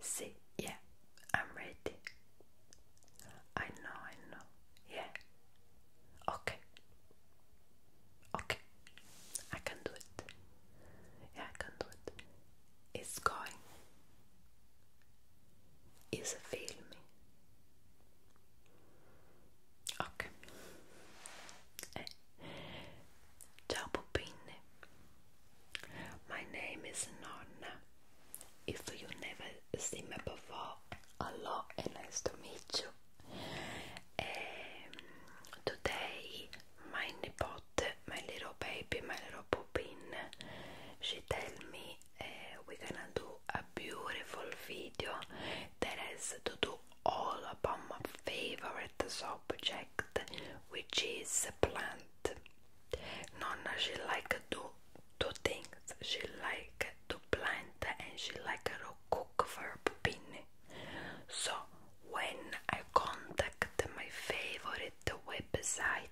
See, yeah, I'm ready. I know, I know. Yeah. Okay. Okay. I can do it. Yeah, I can do it. It's going. It's filming. Ok. Ciao eh. Poppinne. My name is Nonna. If you never see me before, a lot and nice to meet you. Um, today, my nipote, my little baby, my little poopin, she tell me uh, we're gonna do a beautiful video that has to do all about my favorite subject, which is plant. Nonna, she like do two things. She like to plant and she like to cook for her pupini. So when I contact my favorite website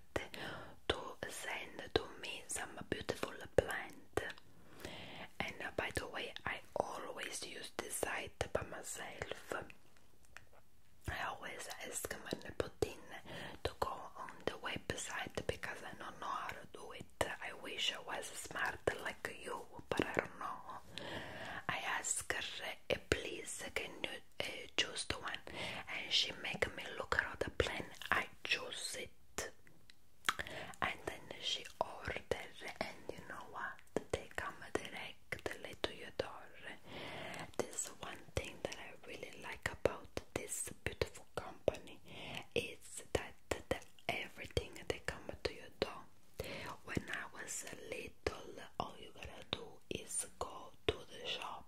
to send to me some beautiful plant, and by the way, I always use this site by myself. I always ask my I put to go on the website because I don't know how to do it. I wish I was smart like you, but I don't know. I ask her, eh, please can you eh, choose the one? And she make me look at the plan. I choose it. And then she ordered and you know what? They come today like delle Toyodor. This one thing that I really like about this beautiful company is that everything they come to your door. When I was little, all you gotta do is go to the shop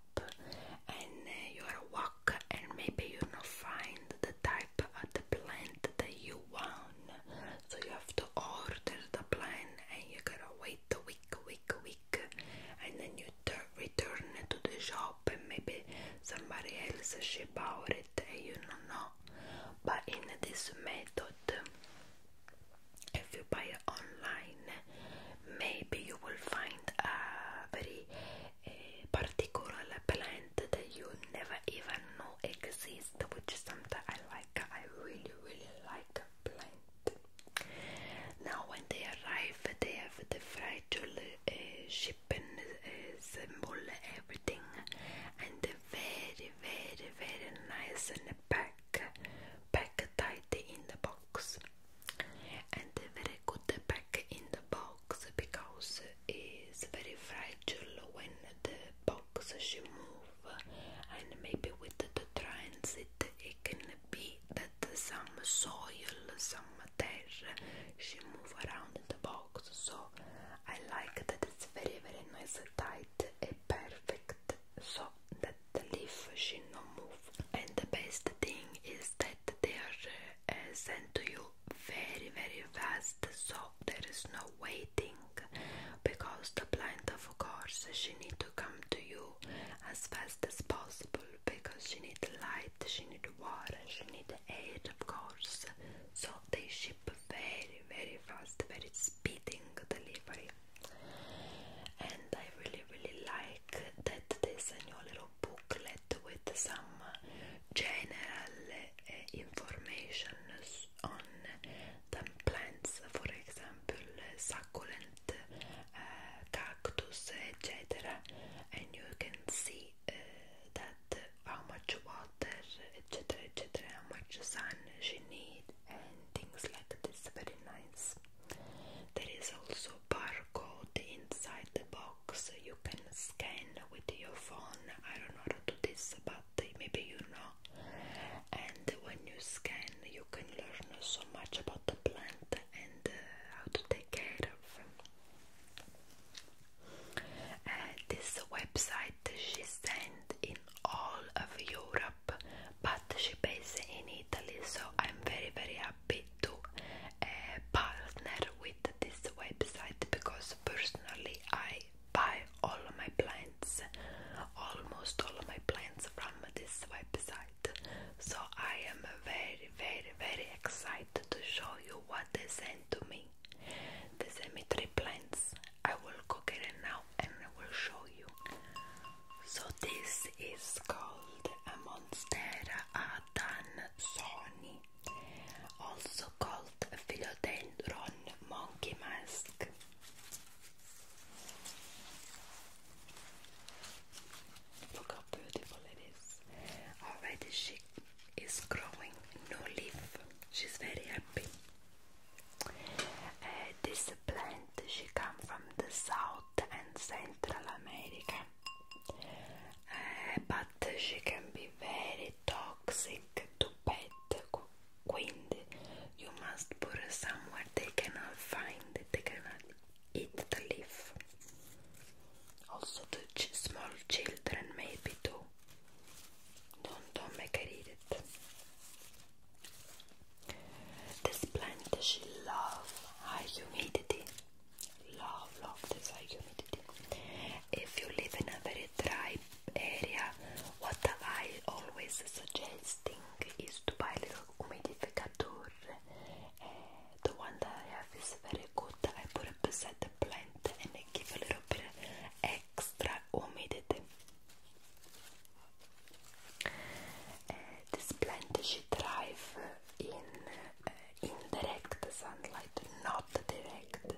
and uh, you gotta walk, and maybe you are gonna find the type of the plant that you want. So you have to order the plant, and you gotta wait wait week, week, week, and then you return to the shop, and maybe somebody else she bought it, and eh, you know not But in this method, if you buy online, maybe you will find a very eh, particular plant that you never even know exists, which is something I like. I really, really like a plant. Now, when they arrive, they have the fragile uh, eh, ship and uh, eh, symbol, everything, and they very, very, very nice in the pack, pack tight in the box, and very good pack in the box because it's very fragile when the box she move, and maybe with the transit it can that some soil, some terra she move around in the box. So I like that it's very very nice, tight and perfect so that the leaf she no move. And the best thing is that they are uh, sent to you very very fast so there is no waiting because the plant of course she need to come to you as fast as possible because she needs light, she needs water, she needs aid, of course. So they ship very, very fast, very speeding delivery. And I really, really like that there's a new little booklet with some general eh, information on the plants, for example, succulent plant, uh, cactus, etc. And you can see uh, that how much water, etc., etc., how much sun she need, and things like this. Very nice. There is also barcode inside the box. You can scan with your phone. I don't know how to do this, but maybe you know. And when you scan, you can learn so much about the the plant and uh, how to take care of. Uh, this website she sent in all of Europe, but she based in Italy, so I'm very very happy to uh, partner with this website because personally I buy all my plants, almost all my plants from this website. So I am very, very, very excited to show you what they sent to me. They sent me three plants. I will cook it now and I will show you. So this is called a Monstera adansoni, also called Philodendron monkey mask. Look how beautiful it is. Already she is growing no leaf. She's very happy. Uh, this plant she come from the South and Central America. Uh, but she can be very toxic to pet queen. You must put somewhere they cannot find, they cannot eat the leaf. Also to small children maybe too. Don't, don't make her eat it. This plant she love high humidity. Love, love this high humidity. If you live in a very dry area, what I always suggesting is to buy a humidificator. Eh, the one that I have is very good. I put it beside the plant and I give a little bit extra humidity. Eh, the plant should thrive in eh, indirect sunlight, not direct,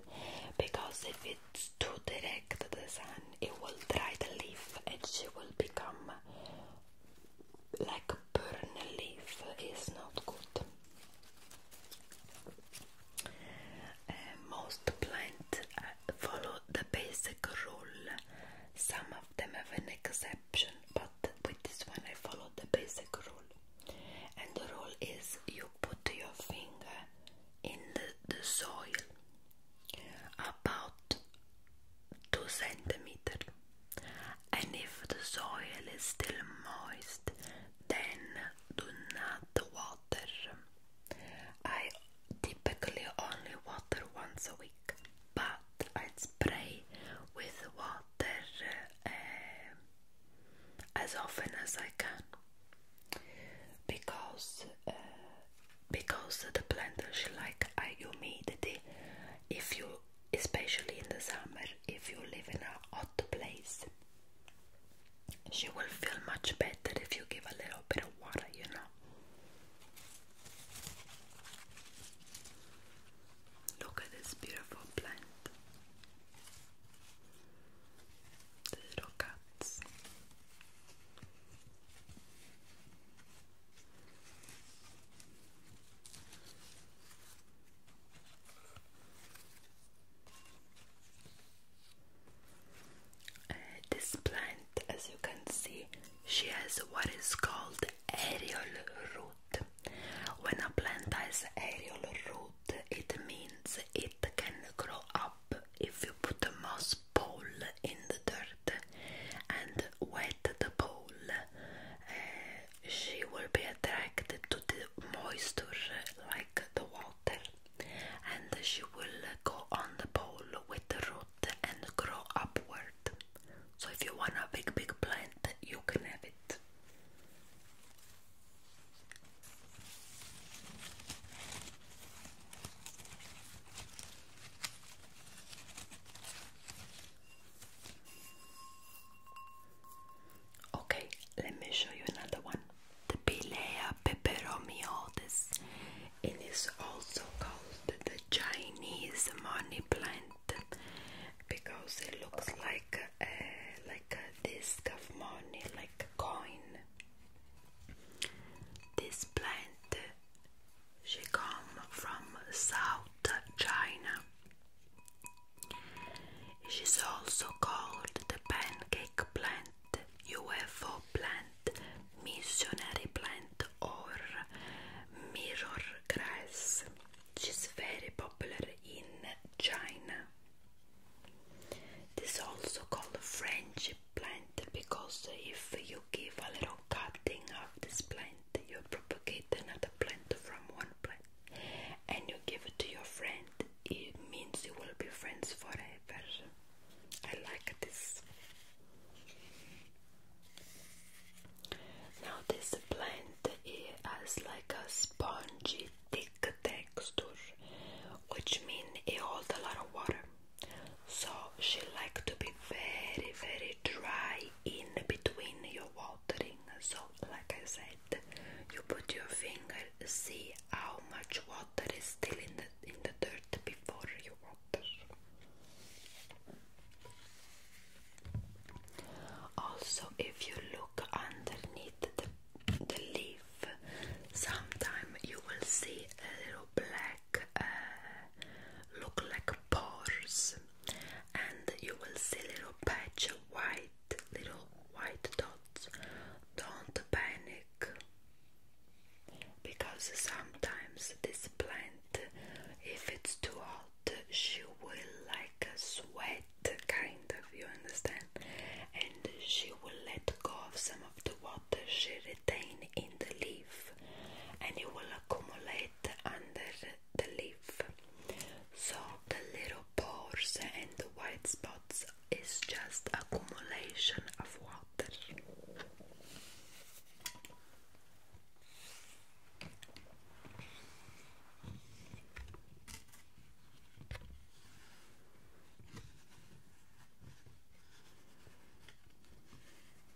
because if it's too direct the sun, it will dry the leaf and she will become like a leaf is not good. Uh, most plants uh, follow the basic rule. Some of them have an exception, but with this one I follow the basic rule. And the rule is you put your finger in the soil about 2 centimeters, and if the soil is still moist then do not water. I typically only water once a week but I spray with water uh, as often as I can because uh, because the planters like humidity if you especially in the summer if you live in a hot place she will feel much better if you give a little bit of water you know look at this beautiful plant the little uh, this plant, as you can see, she has what is called aerial root. When a plant has aerial root, it means it can grow up if you put the moss pole in the dirt and wet the pole. Eh, she will be attracted to the moisture like the water, and she will go on the pole with the root and grow upward. So, if you want a big, big plant, you can have it. Okay, let me show you another one. The Pilea peperomiodes. It is also called the Chinese money plant because it looks like a, uh, like a disc of money, like a coin. This plant she come from South China. She's also called the pancake plant, UFO plant, missionary plant, or mirror grass. She's very popular in China. This is also called French plant because if you give a little cutting of this plant you propagate another plant from one plant and you give it to your friend, it means you will be friends forever. I like this. Now, this plant has like a spongy, thick texture, which means it holds a lot of water. So, she likes to be very, very dry in between your watering. So, like I said, you put your finger, see how much water is still in the in the dirt before you water. Also, if you look underneath the, the leaf, sometimes you will see a little black uh, look like pores and you will see little patch of white little white dots don't panic because sometimes this plant if it's too hot she will like uh, sweat kind of you understand and she will let go of some of the water she retain in the leaf and you will accumulate under the leaf. So the little pores and the white spots is just accumulation of water.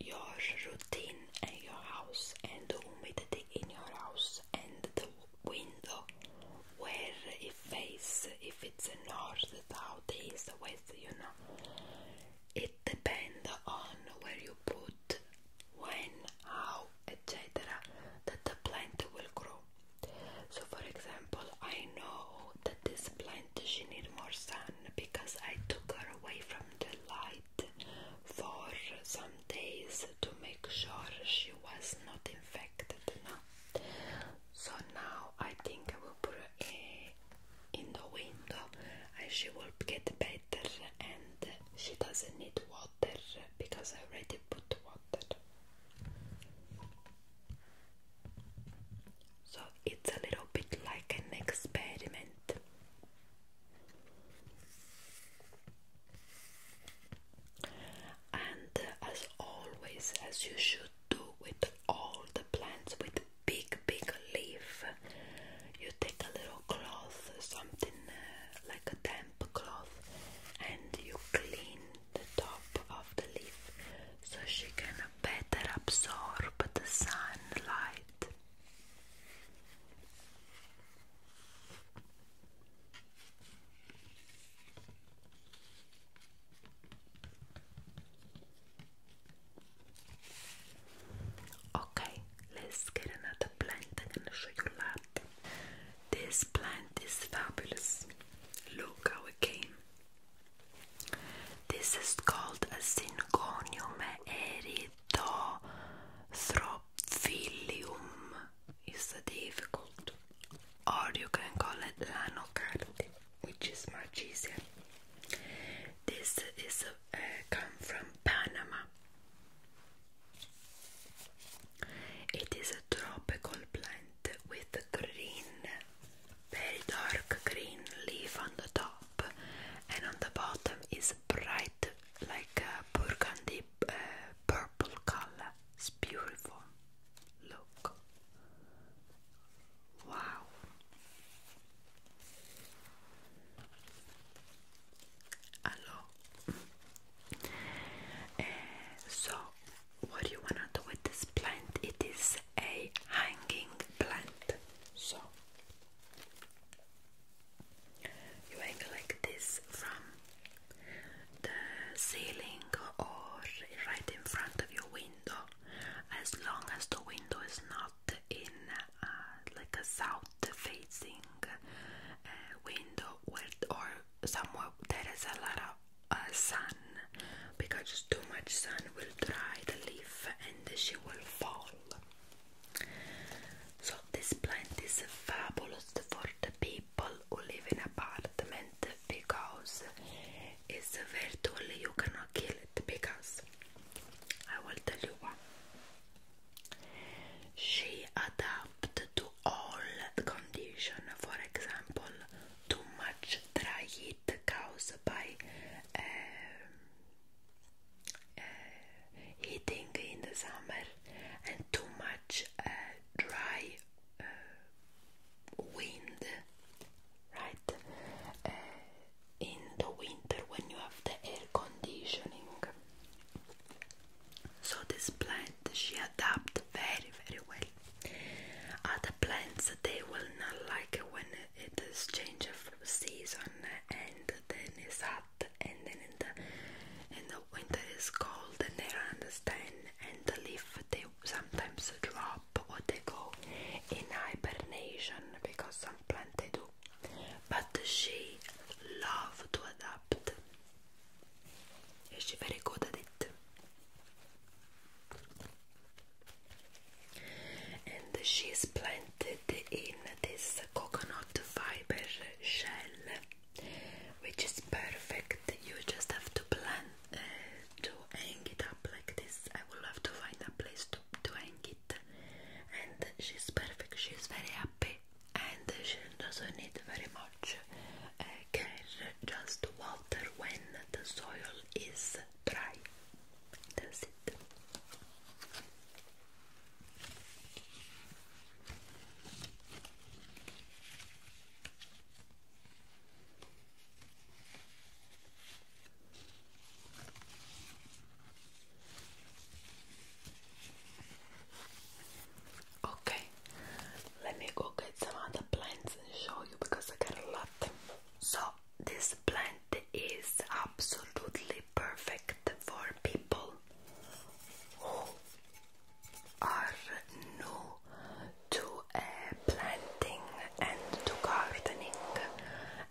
your routine and your house and the humidity in your house and the window where it faces if it's north, south, east, west, you know. It depends on where you put, when, how, etc. that the plant will grow. So for example, I know that this plant she need more sun because I took her away from the light for some days to make sure she was not infected. No. So now I think I will put her in the window and she will get better and she doesn't need water because I already put water. So it's a little bit like an experiment. And as always, as you should do with all the plants with big, big leaf, you take a little cloth, something uh, like a damp cloth, and you clean the top of the leaf so she can better absorb the sunlight. Okay, let's get another plant. i show you a This plant is fabulous. Look how it came. This is called a Synconium eridiosus to Throphilium is difficult, or you can call it Lanocardi, which is much easier. This is uh, come from Panama. It is a tropical plant with green, very dark green leaf on the top, and on the bottom is bright like a uh, burgundy uh, purple color. It's beautiful. Look. Wow. Hello. Eh, so, what do you want to do with this plant? It is a hanging plant. So, you may collect this from the ceiling or right in front of your window, as long as the window is not in uh, like a south-facing uh, window where, or somewhere there is a lot of uh, sun, because too much sun will dry the leaf and she will fall. So this plant is fabulous for the people who live in apartment because it's virtually you cannot kill it because I will tell you what She adapted to all condition, for example, too much dry heat caused by um, uh, in the summer and too much eh, dry eh, wind, right? in the winter when you have the air conditioning. So this plant she adapts very very well. Other plants they will not like when it is change of season and then it's and then in the in the winter it's cold and they understand and the leaf they sometimes drop or they go in hibernation because some plant they do but she love to adapt She's very good at it and she's planted in this coconut fiber shell, which is perfect. You just have to plan uh, to hang it up like this. I will have to find a place to, to hang it, and she's perfect. She's very happy, and she doesn't need very much uh, care. Just water when the soil is dry. Okay, let me go get some other plants and show you because I got a lot. So, this plant is absolutely perfect for people who are new to uh, planting and to gardening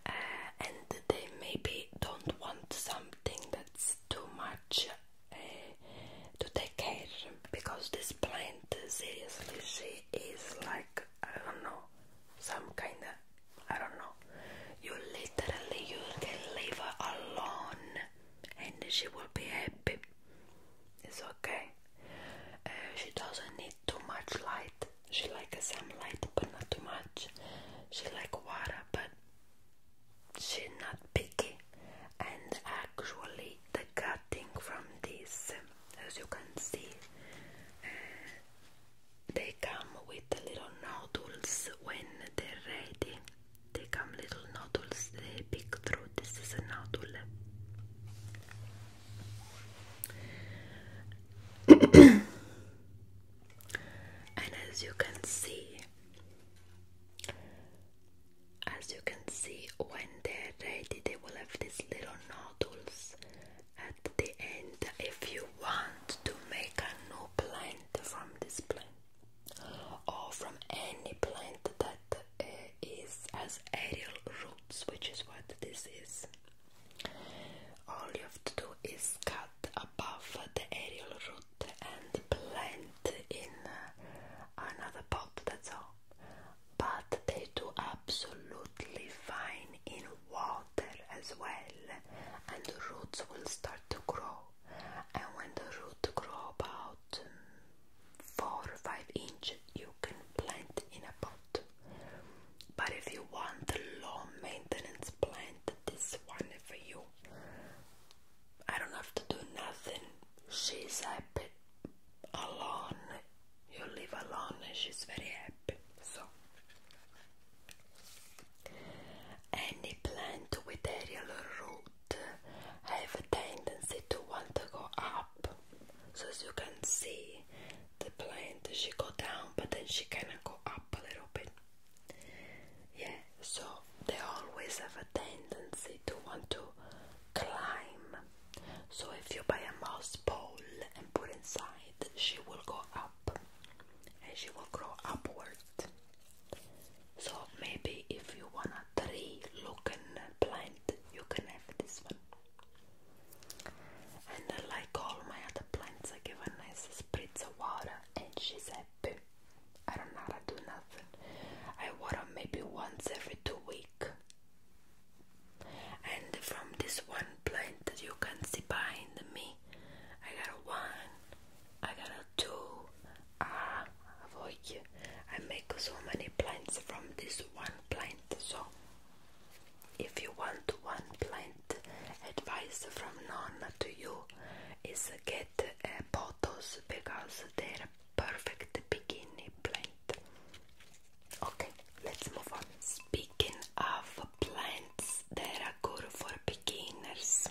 uh, and they maybe don't want something that's too much uh, to take care because this plant seriously she is like I don't know some kind of I don't know. You literally you can leave her alone and she will be happy. It's okay. Uh, she doesn't need too much light. She likes some light but not too much. She like water but she's not picky. And actually the cutting from this as you can see uh, they come with little nodules when they're ready. They come little nodules, they pick through. This is a nodule. and as you can see, as you can see, when they're ready, they will have these little nodules at the end. If you want to make a new plant from this plant or from any plant that uh, is has aerial roots, which is what this is. All you have to do is cut above the aerial root and plant in uh, another pot, that's all. But they do absolutely fine in water water as well and the roots will start to grow and when the roots grow about um, 4 or 5 inches, you can plant in a pot but if you want a low maintenance plant this one for you I don't have to do nothing she's happy alone you leave alone and she's very happy so any plant with aerial root have a tendency to want to go up. So as you can see, the plant she go down, but then she can go up a little bit. Yeah, so they always have a tendency to want to climb. So if you buy a mouse pole and put inside, she will go up and she will grow upward. So maybe if you want a tree looking plant, you can have this one. And like all my other plants, I give a nice spritz of water and she's happy. I don't know how to do nothing. I water maybe once every two weeks. And from this one plant that you can see behind me, I got a one, I got a two. Ah, avoid. I make so many plants from this one plant. So, if you want one plant, advice from Nonna to you is get a eh, pothos because they're perfect beginning plant. Okay, let's move on. Speaking of plants that are good for beginners,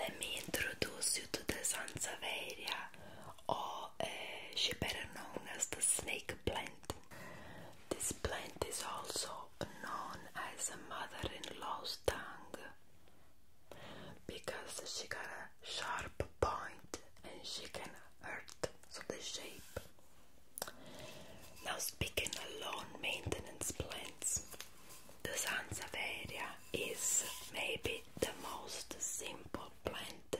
let me introduce you to the Sansevieria, or eh, she's better known as the snake plant. This plant is also known as a mother-in-law's tongue because she got a sharp point and she can hurt, so the shape. Now, speaking of lawn maintenance plants, the Sansevieria is maybe the most simple plant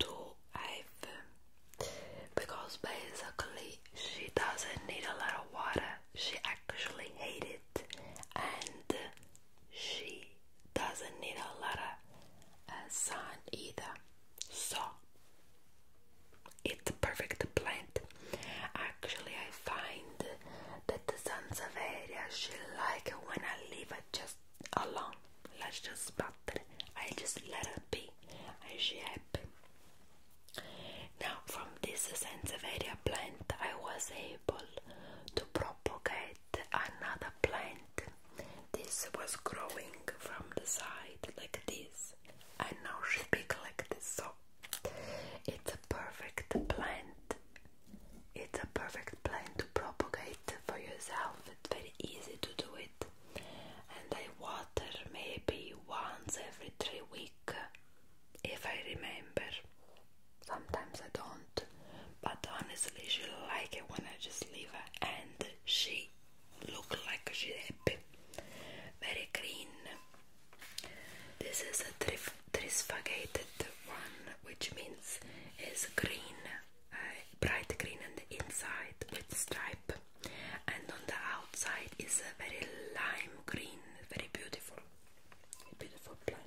to have because basically she doesn't need a lot of water, she actually hates it and she doesn't need a lot of uh, sun either. So it's a perfect plant. Actually, I find that the sansevieria she like when I leave it just alone. Let's just it. I just let it be, and she happy. Now, from this sansevieria plant, I was able to propagate another plant. This was growing from the side like this, and now she big like this. So it's a perfect plant. It's a perfect plant to propagate for yourself. It's very easy to do it. And I water maybe once every three weeks if I remember. Sometimes I don't. But honestly she like it when I just leave her and she look like she's happy. Very green this is a trif trisfagated one, which means it's green, uh, bright green on the inside with stripe, and on the outside is a very lime green, very beautiful, beautiful plant.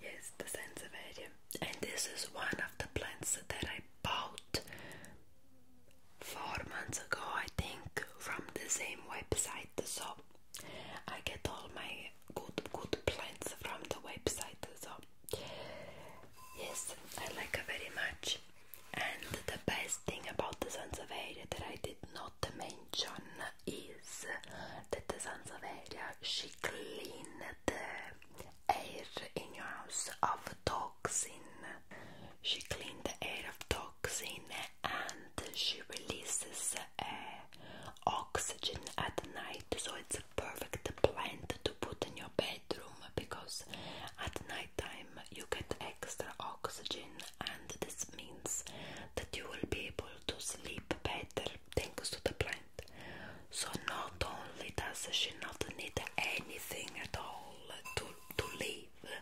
Yes, the Sansevieria. And this is one of the plants that I bought four months ago, I think, from the same website. So I get all my good good plants from the website. So Yes, I like her very much. And the best thing about the Sansevieria that I did not mention is that the Sansevieria she cleaned the air in your house of toxins. She cleaned the air of toxins, and she releases uh, oxygen at night, so it's a perfect plant to put in your bedroom because at night time you get extra oxygen, and this means that you will be able to sleep better thanks to the plant. So, not only does she not need anything at all to, to live,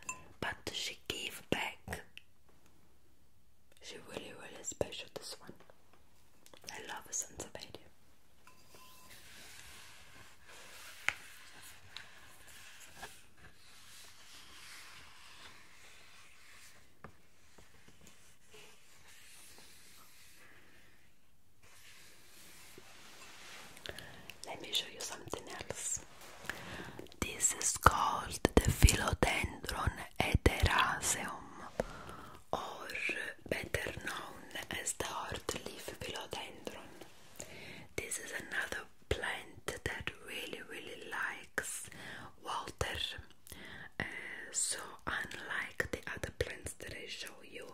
but she gave back. She really, really special. This one, I love Sansevieria. Let me show you something else. This is called the Philodendron Etheraceum, or better known as the Hort leaf Philodendron. This is another plant that really, really likes water. Uh, so unlike the other plants that I show you,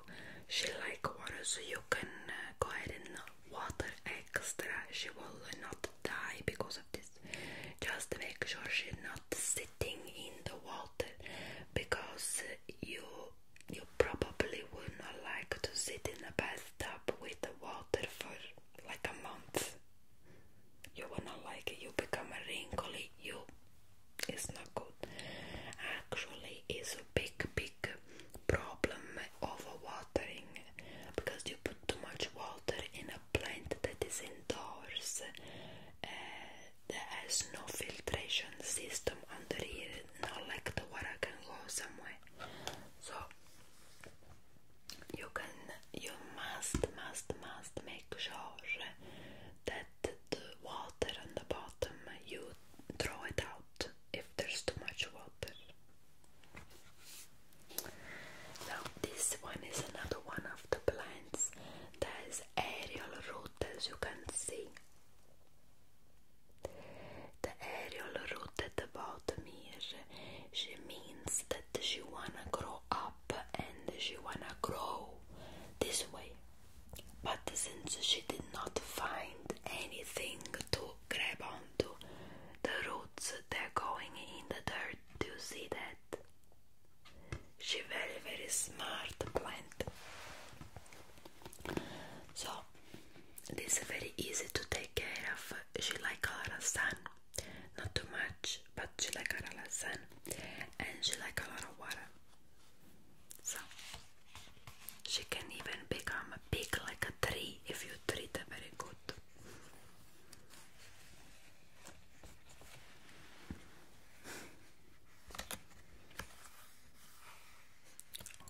she like water, so you can uh, go ahead and water extra. She will not die because of this. Just make sure she's not sitting in the water because you you probably would not like to sit in a bathtub with the water for like a month. You would not like it, you become a wrinkly you. It's not good. Actually, it's a big, big problem overwatering because you put too much water in a plant that is indoors. Uh, there is no filtration system under it not like the water can go somewhere. So you can, you must, must, must make sure that the water on the bottom you throw it out if there's too much water. Now this one is another one of the plants that is aerial roots, as you can see. The aerial rooted about Mir. She means that she wanna grow up and she wanna grow this way. But since she did not find anything to grab onto, the roots they're going in the dirt. Do you see that? She very very smart plant. So this is very easy to take care of. She like a lot of sun, not too much, but she like a lot of sun, and she like a lot of water. So she can even become big like a tree if you treat her very good.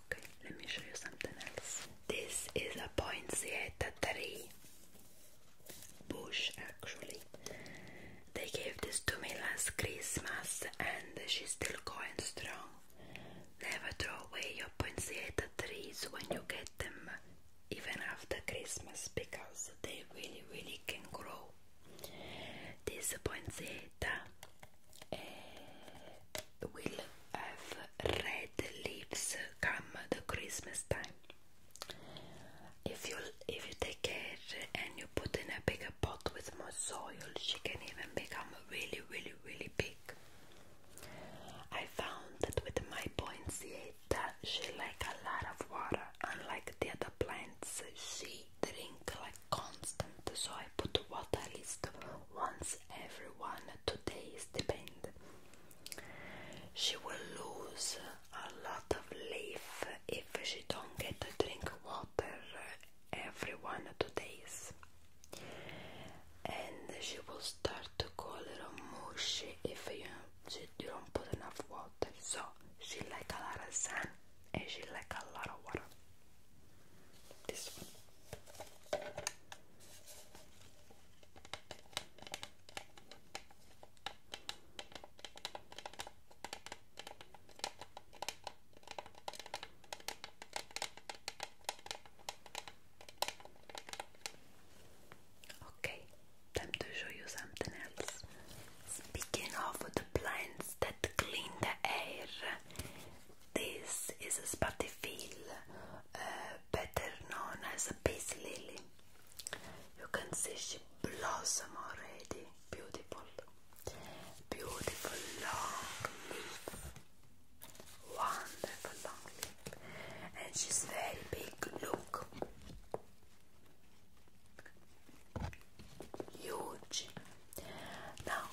Okay, let me show you something else. This is a poinsettia tree bush, actually. They gave this to me last Christmas, and she's still going strong. Never throw away your poinsettia trees when you get them, even after Christmas, because they really, really can grow. This poinsettia will have red leaves come the Christmas time. If you if you take care and you put in a bigger pot with more soil, she can even become really, really, really big. I found that with my poinsettia, she like a lot of water. Unlike the other plants, she drink like constant, so I put water list once every one, two days, depend. She will lose a lot of leaf if she don't get to drink water every one, two days. And she will start to go a little mushy if you don't put enough water. So she like a lot of sun and she like a lot of water. This one. Okay, time to show you something else. Speaking of the plants that clean the air, this is a spatifil, uh, better known as a peace lily. You can see she blossomed already. Beautiful, beautiful long leaf. Wonderful long leaf, and she's very big. Look, huge, now,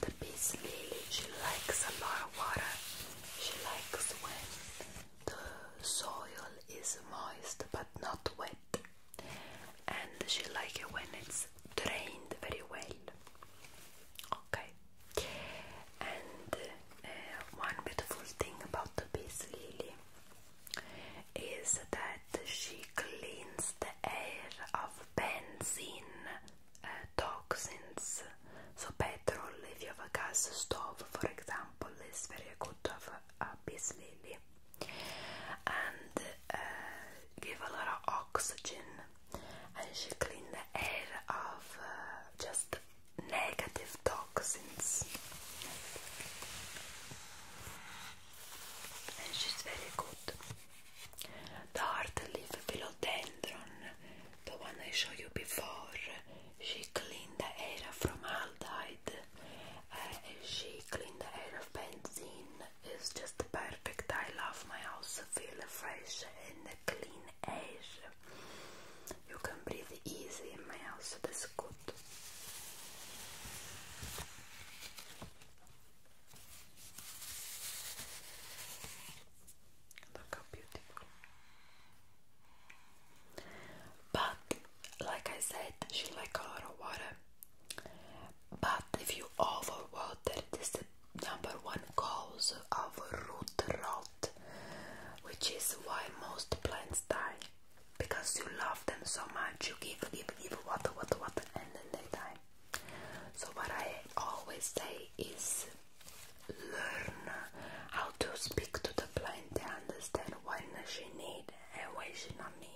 the peace Lily, she likes a lot of water. She likes when the soil is moist but not wet. And she likes it when it's drained very well. Okay. And uh, one beautiful thing about the peace Lily is that she cleans the air of benzene Eh, toxins. So petrol, if you have a gas stove, for example, is very good to have a peace lily. And eh, give a lot of oxygen. And she clean the air of eh, just negative toxins. And she's very good. The heartleaf philodendron, the one I showed you before, she cleaned the area from aldehyde. Uh, she cleaned the air of benzene. It's just perfect. I love my house. Feel fresh and clean air. You can breathe easy in my house. is good. Look how beautiful. But like I said, she likes a lot of water. But if you overwater, it is the number one cause of root rot, which is why most plants die. Because you love them so much, you give, give, give water, water, water, and then they die. So what I always say is learn how to speak to the blind. They understand when she need and when she not need.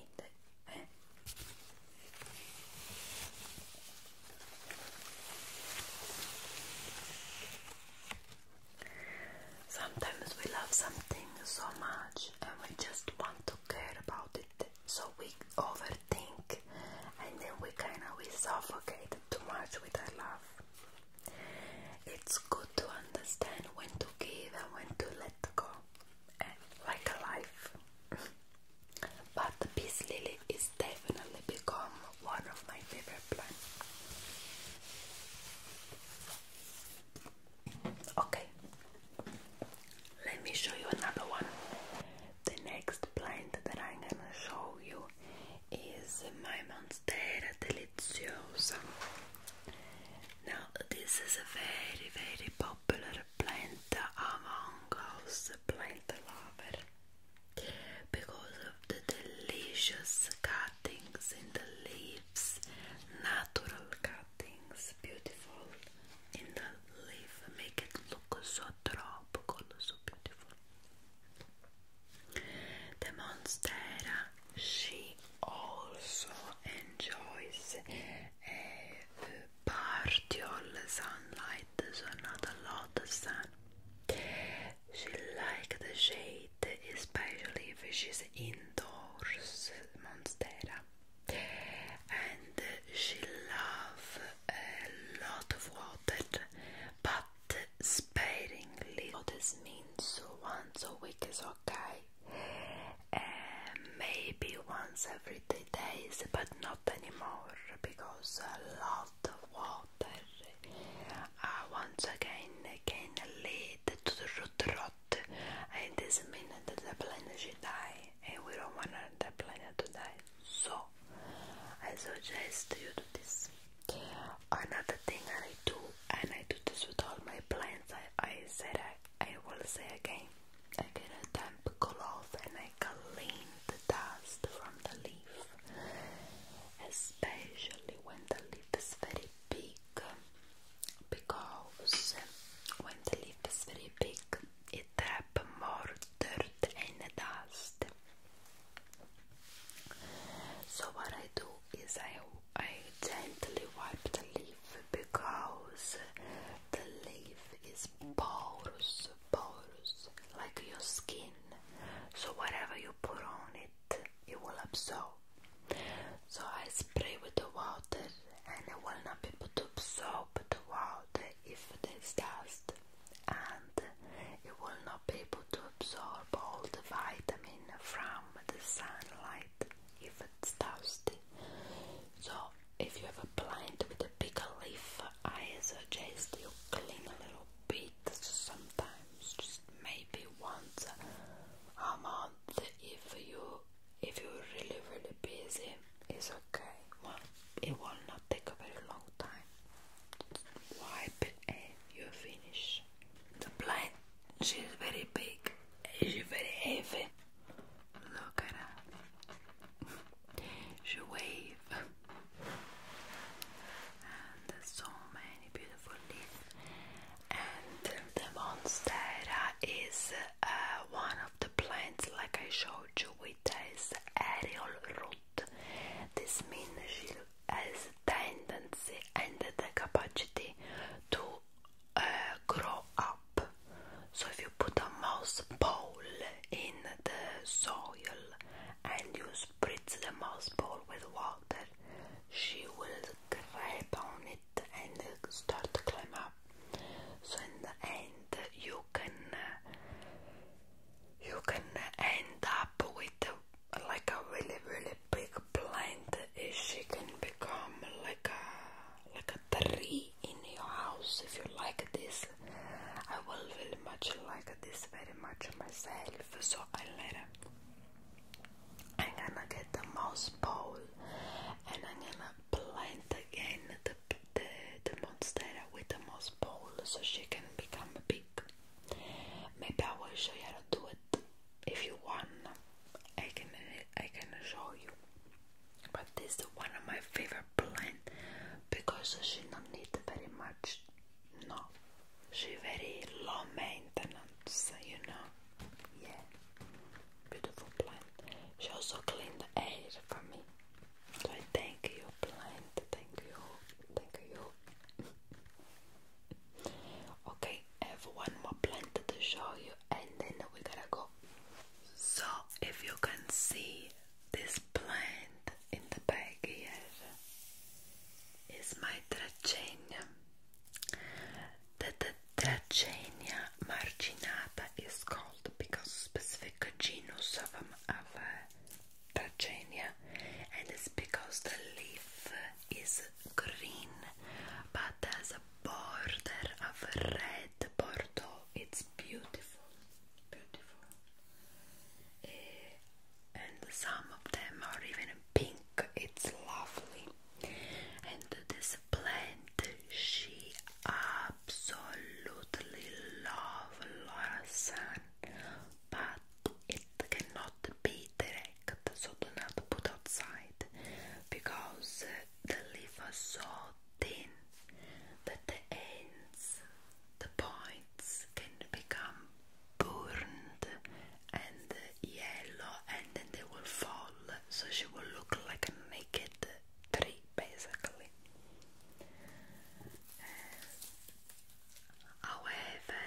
Sometimes we love something so much and we just want to care about it so we overthink and then we kind of we suffocate too much with our love. It's good to understand when to give and when to let go, and eh, like a life. but the peace lily is definitely become one of my favorite plants. Okay, let me show you another one. The next plant that I'm gonna show you is my monster Deliziosa. Now, this is a very, very popular plant among us plant lovers because of the delicious cuttings in the leaves, natural cuttings, beautiful in the leaf make it look so tropical, so beautiful. The monstera, she also enjoys a eh, partial sunlight, so not a lot of sun. She likes the shade, especially if she's indoors, monstera. And she loves a lot of water, but sparingly. What this means so once a week is okay, uh, maybe once every three days, but not anymore because a lot of water uh, once again can lead to the root rot, and this means that the plant should die and we don't want the planet to die. So I suggest you do this. Another thing I do, and I do this with all my plants, I, I said I, I will say again, I get a damp cloth and I clean the dust from the leaf, especially when the leaf is very big, because when the leaf is very big, i more dirt and dust. So what I do is I I gently wipe the leaf because the leaf is porous, porous, like your skin. So whatever you put on it, it will absorb. So I spray with the water and it will not be able to absorb the water if it's dust and you will not be able to absorb all the vitamin from the sunlight if it's dusty. So if you have a plant with a bigger leaf, I suggest you clean a little bit sometimes, just maybe once a month if you if you're really really busy. It's okay. Well, it will not take a very long time. Wipe it and you're finished. The plant, she's very big. She's very heavy. Look at her. she wave. And there's so many beautiful leaves. And the monstera is uh, one of the plants, like I showed brooch with aerial root. This means she has tendency and the capacity to uh, grow up. So if you put a mouse ball in the soil and you spritz the mouse ball with water, she will grab on it and start to climb up. So in you can uh, you can end up with like a really really big plant and she can become like a like a tree in your house if you like this I will really much like this very much myself so I later I'm gonna get the mouse bowl and I'm gonna plant again the the, the monstera with the moss ball so she can become big. Maybe I will show you how to do it if you want. I can I can show you. But this is one of my favorite plants because she don't need very much. No, she very low maintenance. You know, yeah, beautiful plant. She also cleaned the air for me. So thank you, blind. Thank you. Thank you. okay, I have one more plant to show you, and then we gotta go. So, if you can see this plant in the bag here, is my Dracenia. the Dracenia marginata is called because specific genus of, um, of uh, Trachenia and it's because the leaf is green but has a border of red bordeaux. It's beautiful, beautiful. Eh, and some of them are even pink. It's lovely. And this plant, she absolutely love Laura but it cannot be direct, so do not put outside because the leaves are so thin that the ends, the points can become burned and yellow and then they will fall, so she will look like a naked three basically. Uh, however,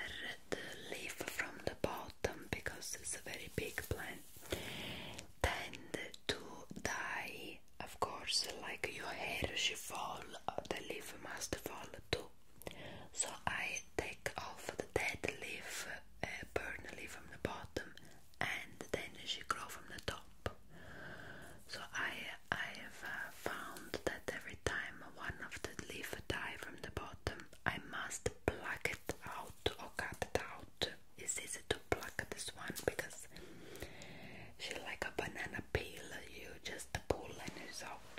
the leaf from the bottom, because it's a very big plant, tend to die. Of course, like your hair should fall, uh, the leaf must fall too. So I take off the dead leaf, uh, burn the leaf from the bottom, and then she grow from the top. So I I have uh, found that every time one of the leaf die from the bottom, I must pluck it out or cut it out. It's easy to pluck this one because she like a banana peel. You just pull and it's out.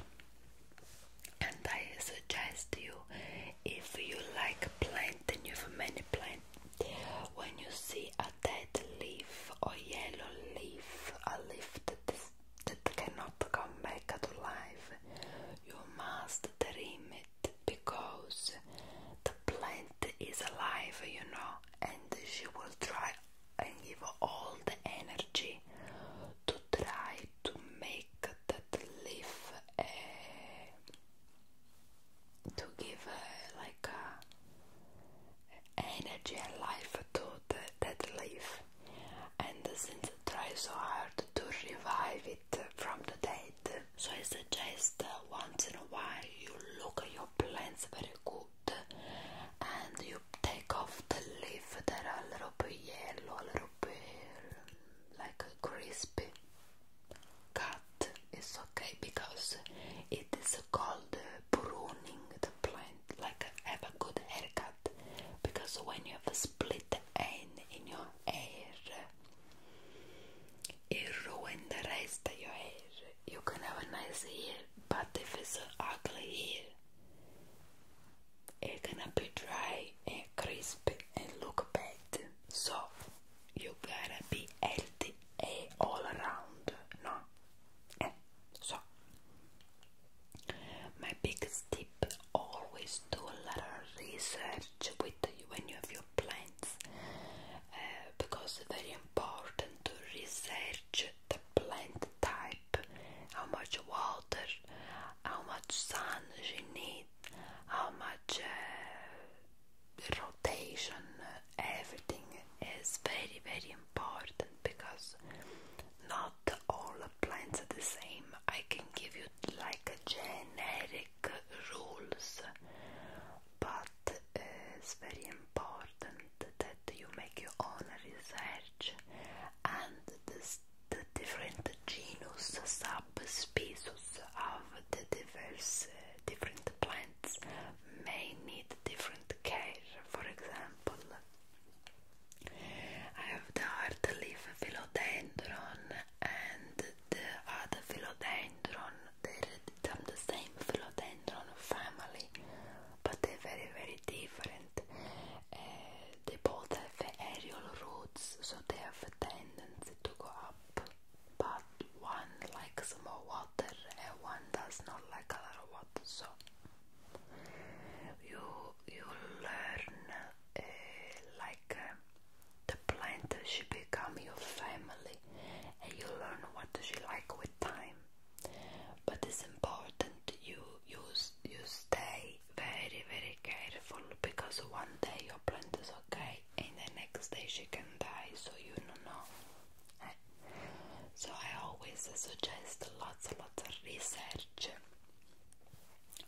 And I suggest you, if you like plant then you have many plants, when you see a a dead leaf or yellow leaf, a leaf that, is, that cannot come back to life, you must trim it because the plant is alive, you know, and she will try and give all the energy to try to make that leaf eh, to give uh, like a energy and life to the, that leaf, and since I try so hard to revive it from the dead, so I suggest once in a while you look at your plants very good and you take off the leaf that are a little bit yellow, a little bit like crispy cut. It's okay because it is called pruning the plant like have a good haircut because when you have a split end in your hair it ruin the rest of your hair you can have a nice hair but if it's an ugly hair it's gonna be dry and crispy and look bad so you gotta be healthy all around no? Eh. So, my biggest tip always do a lot of research with you when you have your plants uh, because it's very important to research the plant type, how much water, how much sun you need, how much uh, rotation, uh, everything is very very important because not all plants are the same. I can give you like generic rules, but it's very important that you make your own research and the different genus, subspecies of the diverse different plants may need different care. For example, I have the hard leaf philodendron and the other philodendron. They're from the same philodendron family, but they're very, very different. Uh, they both have aerial roots, so they have a tendency to go up, but one likes more water water and one does not like a lot of water so you you learn uh, like uh, the plant she become your family and you learn what she like with time but it's important you you, you stay very very careful because one day your plant is okay and the next day she can die so you don't know so I always suggest lots and lots of research,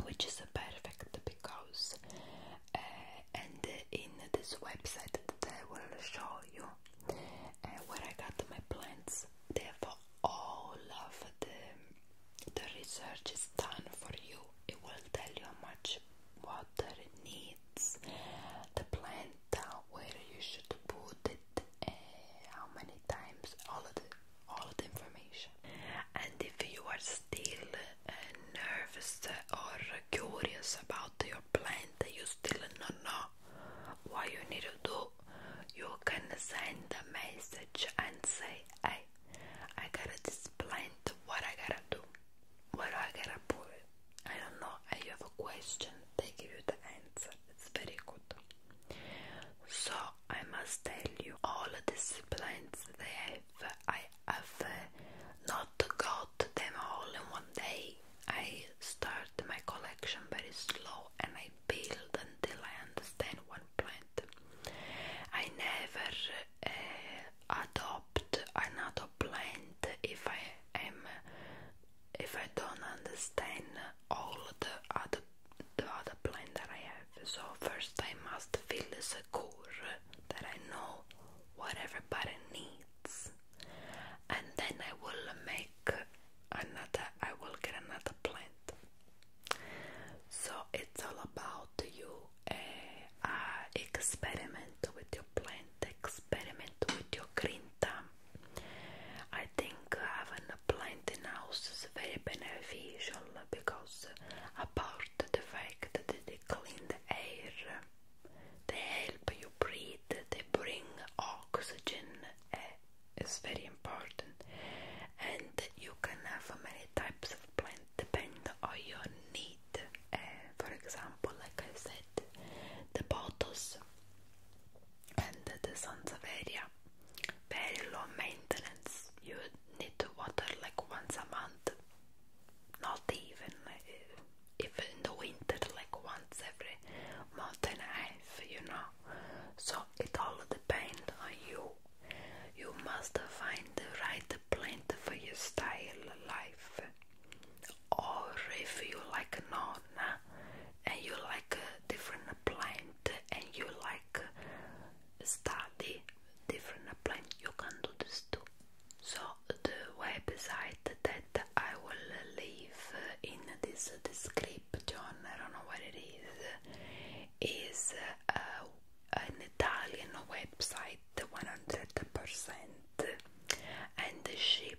which is perfect because uh, and in this website that I will show you uh, where I got my plants, Therefore, all of the the research is done for you. It will tell you how much water it needs, the plant where you should put it, eh, how many times, all of the all of the information. And if you are still uh, nervous or curious about your plan that you still don't know what you need to do, you can send a message and say, "Hey, I got to explain to What I gotta do? What I gotta put?" I don't know, I have a question, they give you the answer. It's very good. So I must tell you all the plants that I have I have uh, not got them all in one day. I start my collection very slow and I build until I understand one plant. I never uh, adopt another plant if I am if I don't understand all the other the other plan that I have. So first I must feel secure that I know what everybody needs, and then I will make another. I will get another plant. So it's all about you. Eh, uh, experiment with your plant experiment with your green thumb. I think having a plant in house is very beneficial because apart the fact that they clean the air, they help you breathe, they bring oxygen, eh, it's very important. And you can have many types of plants depending on your need. Eh, for example, like I said, the bottles and the sons of area. Very low maintenance. You need to water like once a month. Not even if uh, in the winter, like once every month and a half, you know. So it all depends on you. You must find the right plant for your style life or if you like nonna and you like different plant and you like study different plant you can do this too so the website that I will leave in this description I don't know what it is is uh, an Italian website 100% and the ship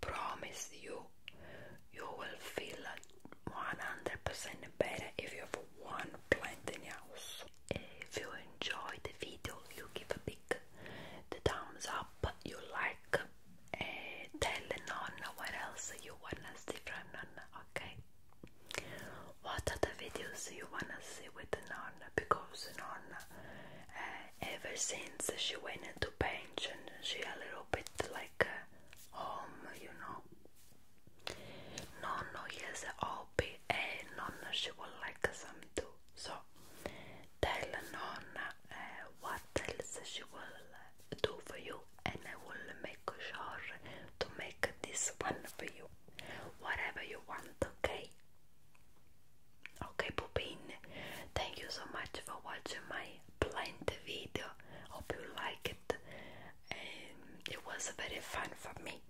promise you, you will feel 100% better if you have one plant in your house. If you enjoy the video, you give a big the thumbs up, you like, and tell Nonna what else you wanna see from Nonna, okay? What other videos you wanna see with Nonna? Because Nonna, uh, ever since she went into pension, she a little little bit like a uh, home, you know. Nonno has a hobby and nonna she would like some too. So tell nonna uh, what else she will uh, do for you and I will make sure to make this one for you. Whatever you want, okay? Okay, Pupin, thank you so much for watching my Plant video. Hope you like it. Um, it was very fun for me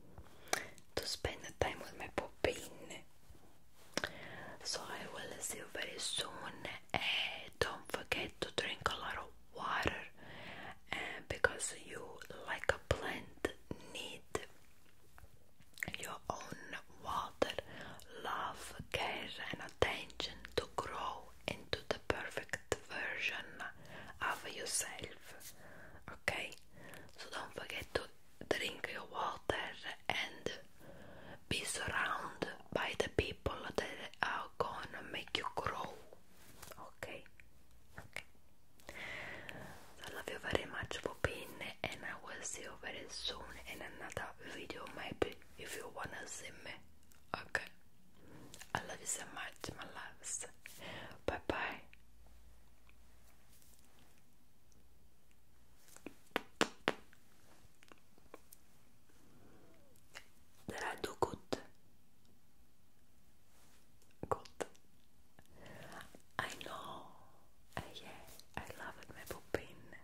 to spend the time with my puppy. So I will see you very soon. And don't forget to drink a lot of water because you like a plant need your own water another love, care, and attention to grow into the perfect version of yourself. Okay? So don't forget to drink your water and be surrounded by the people that are gonna make you grow. Okay? Okay. I love you very much for being and I will see you very soon in another video maybe if you wanna see me. Okay. I love you so much, my loves. Bye bye. Did I do good? Good. I know. yeah, I love it, my poopin.